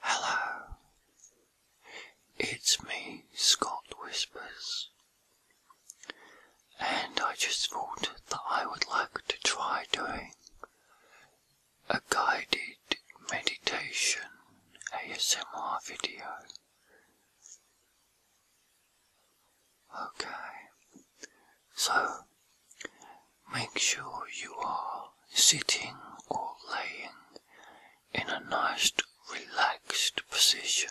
Hello. It's me, Scott Whispers. And I just thought that I would like to try doing a guided meditation ASMR video. Okay. So, make sure you are sitting or laying in a nice relaxed position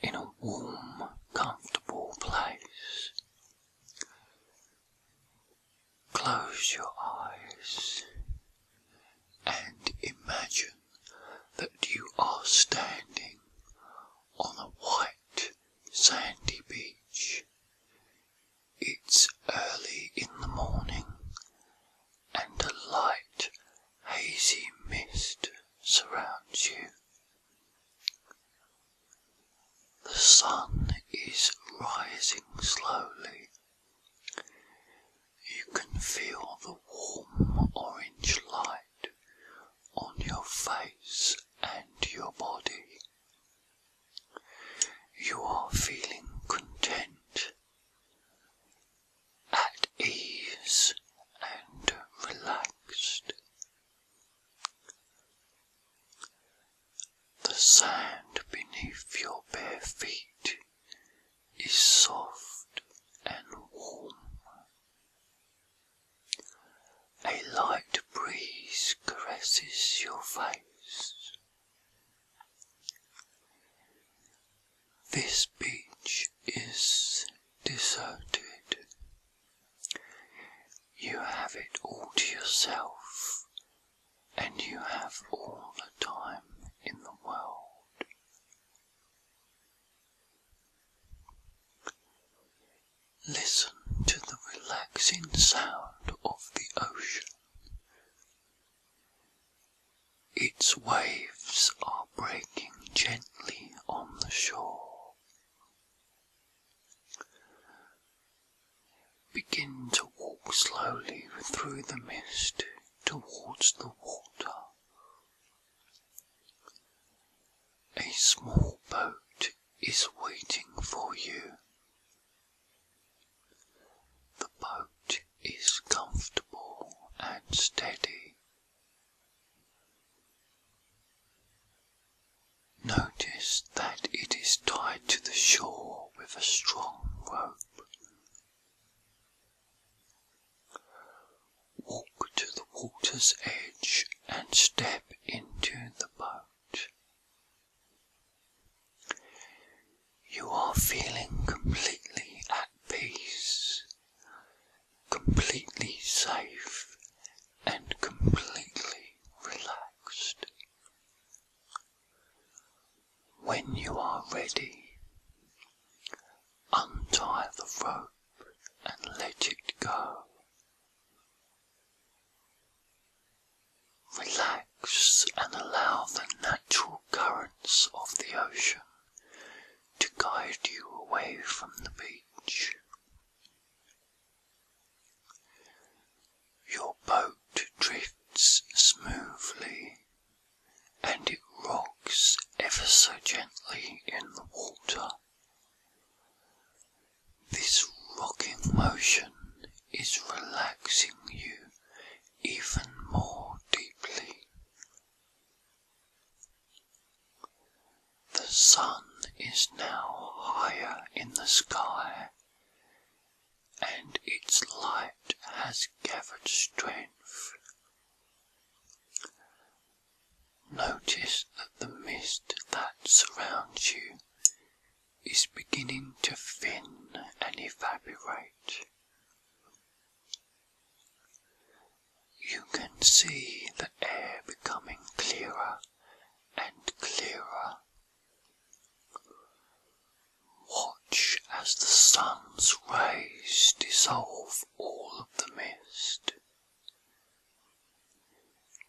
in a warm, comfortable place. Close your eyes and imagine that you are standing on a white sandy beach it's early in the morning, and a light, hazy mist surrounds you. The sun is rising slowly. You can feel the warm orange light on your face and your body. You are feeling content, at ease, and relaxed. The sand beneath your bare feet is soft and warm. A light breeze caresses your face. This beach is deserted. You have it all to yourself, and you have all the time in the world. Listen to the relaxing sound of the ocean. Its waves are breaking gently on the shore. Begin to walk slowly through the mist towards the water a small boat is waiting for you. The boat is comfortable and steady. Notice that it is tied to the shore with a strong rope. Walk to the water's edge and step into the boat. You are feeling completely at peace, completely safe, and completely relaxed. When you are ready, untie the rope and let it go. Relax and allow the natural currents of the ocean to guide you away from the beach. Your boat drifts smoothly and it rocks ever so gently in the water. This rocking motion is relaxing you even more deeply. The sun is now higher in the sky, and its light has gathered strength. Notice that the mist that surrounds you is beginning to thin and evaporate. You can see the air becoming clearer and clearer. Watch as the sun's rays dissolve all of the mist.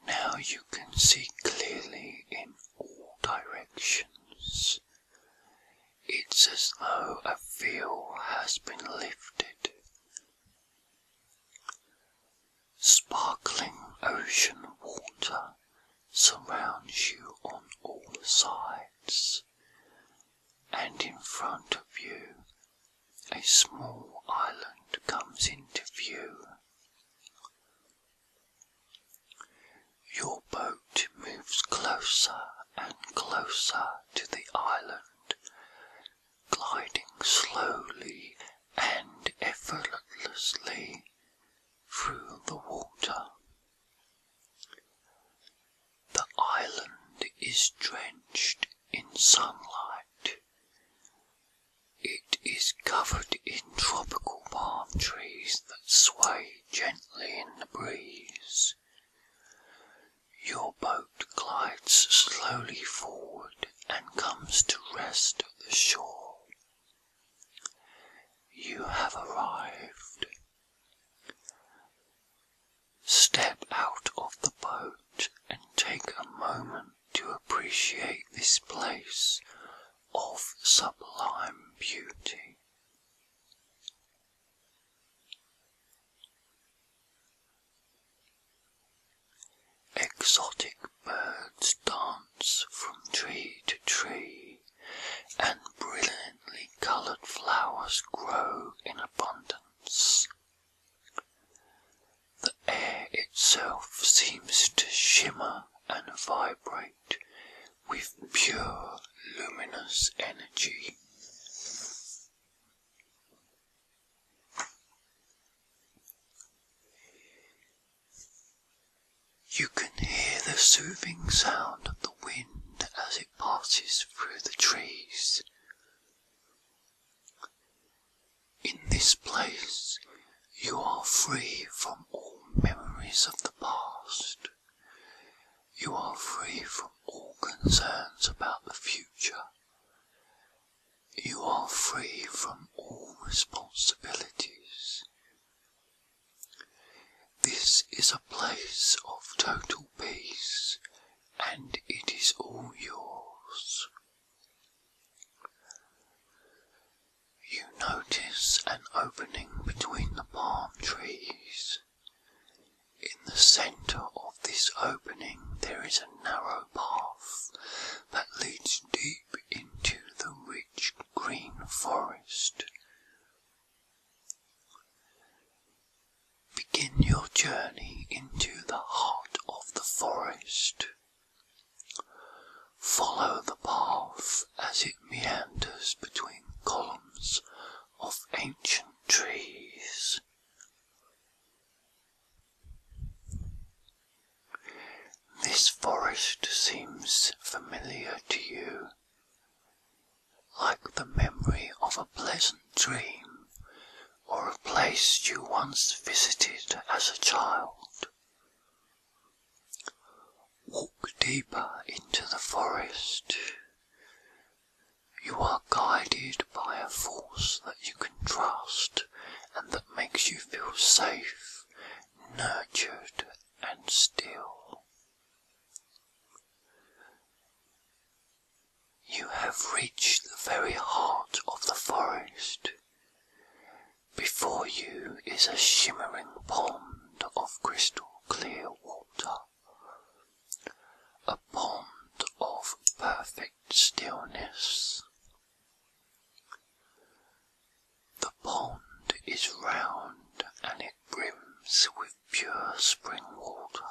Now you can see clearly in all directions. It's as though a veil has been lifted. Sparkling ocean water surrounds you on all sides, and in front of you a small island comes into view. Your boat moves closer and closer to the island, gliding slowly and effortlessly through the water. The island is drenched in sunlight. It is covered in tropical palm trees that sway gently in the breeze. Your boat glides slowly forward and comes to rest at the shore. You have arrived. Step out of the boat and take a moment to appreciate this place of sublime beauty. Exotic birds dance from tree to tree and brilliant brightly colored flowers grow in abundance. The air itself seems to shimmer and vibrate with pure luminous energy. You can hear the soothing sound of the wind as it passes through the trees. In this place you are free from all memories of the past. You are free from all concerns about the future. You are free from all responsibilities. This is a place of total peace, and it is all yours. You notice an opening between the palm trees. In the centre of this opening there is a narrow path that leads deep into the rich green forest. Begin your journey into the heart of the forest. Follow the path as it meanders between columns of ancient trees. This forest seems familiar to you, like the memory of a pleasant dream or a place you once visited as a child. Walk deeper into the forest. You are guided by a force that you can trust and that makes you feel safe, nurtured, and still. You have reached the very heart of the forest. Before you is a shimmering pond of crystal clear water, a pond of perfect stillness. The pond is round and it brims with pure spring water.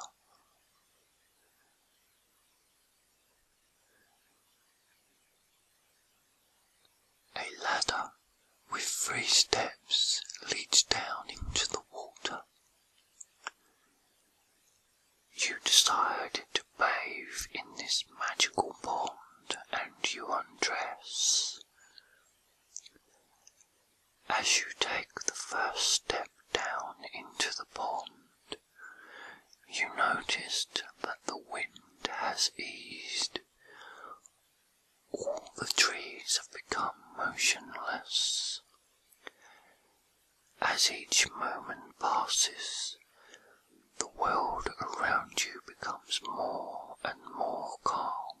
A ladder with three steps leads down into the water. You decide to bathe in this magical pond and you undress. As you take the first step down into the pond, you notice that the wind has eased. All the trees have become motionless. As each moment passes, the world around you becomes more and more calm,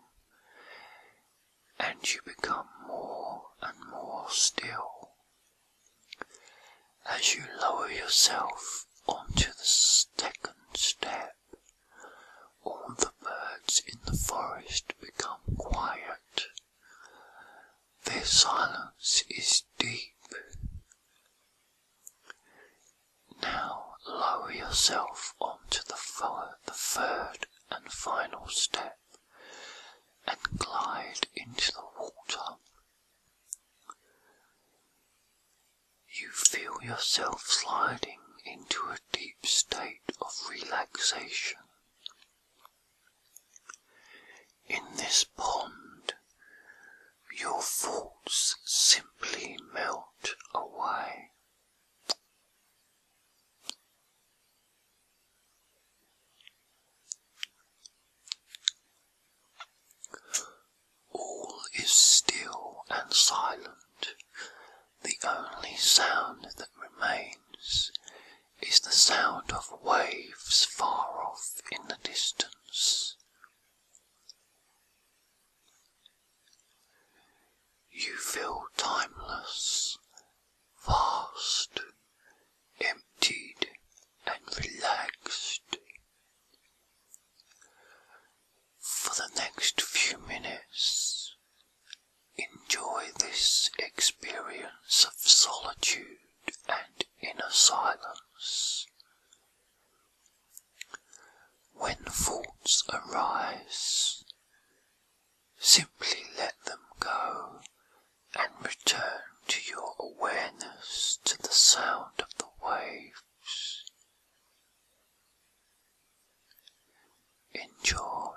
and you become more and more still. As you lower yourself onto the second step, all the birds in the forest become quiet. Their silence is deep. Now lower yourself onto the, fir the third and final step and glide into the water. You feel yourself sliding into a deep state of relaxation. In this pond, your faults simply melt away. All is still and silent. The only sound that remains is the sound of waves far off in the distance. You feel timeless, vast, emptied, and relaxed. For the next few minutes, enjoy this experience of solitude and inner when thoughts arise, simply let them go and return to your awareness to the sound of the waves. Enjoy.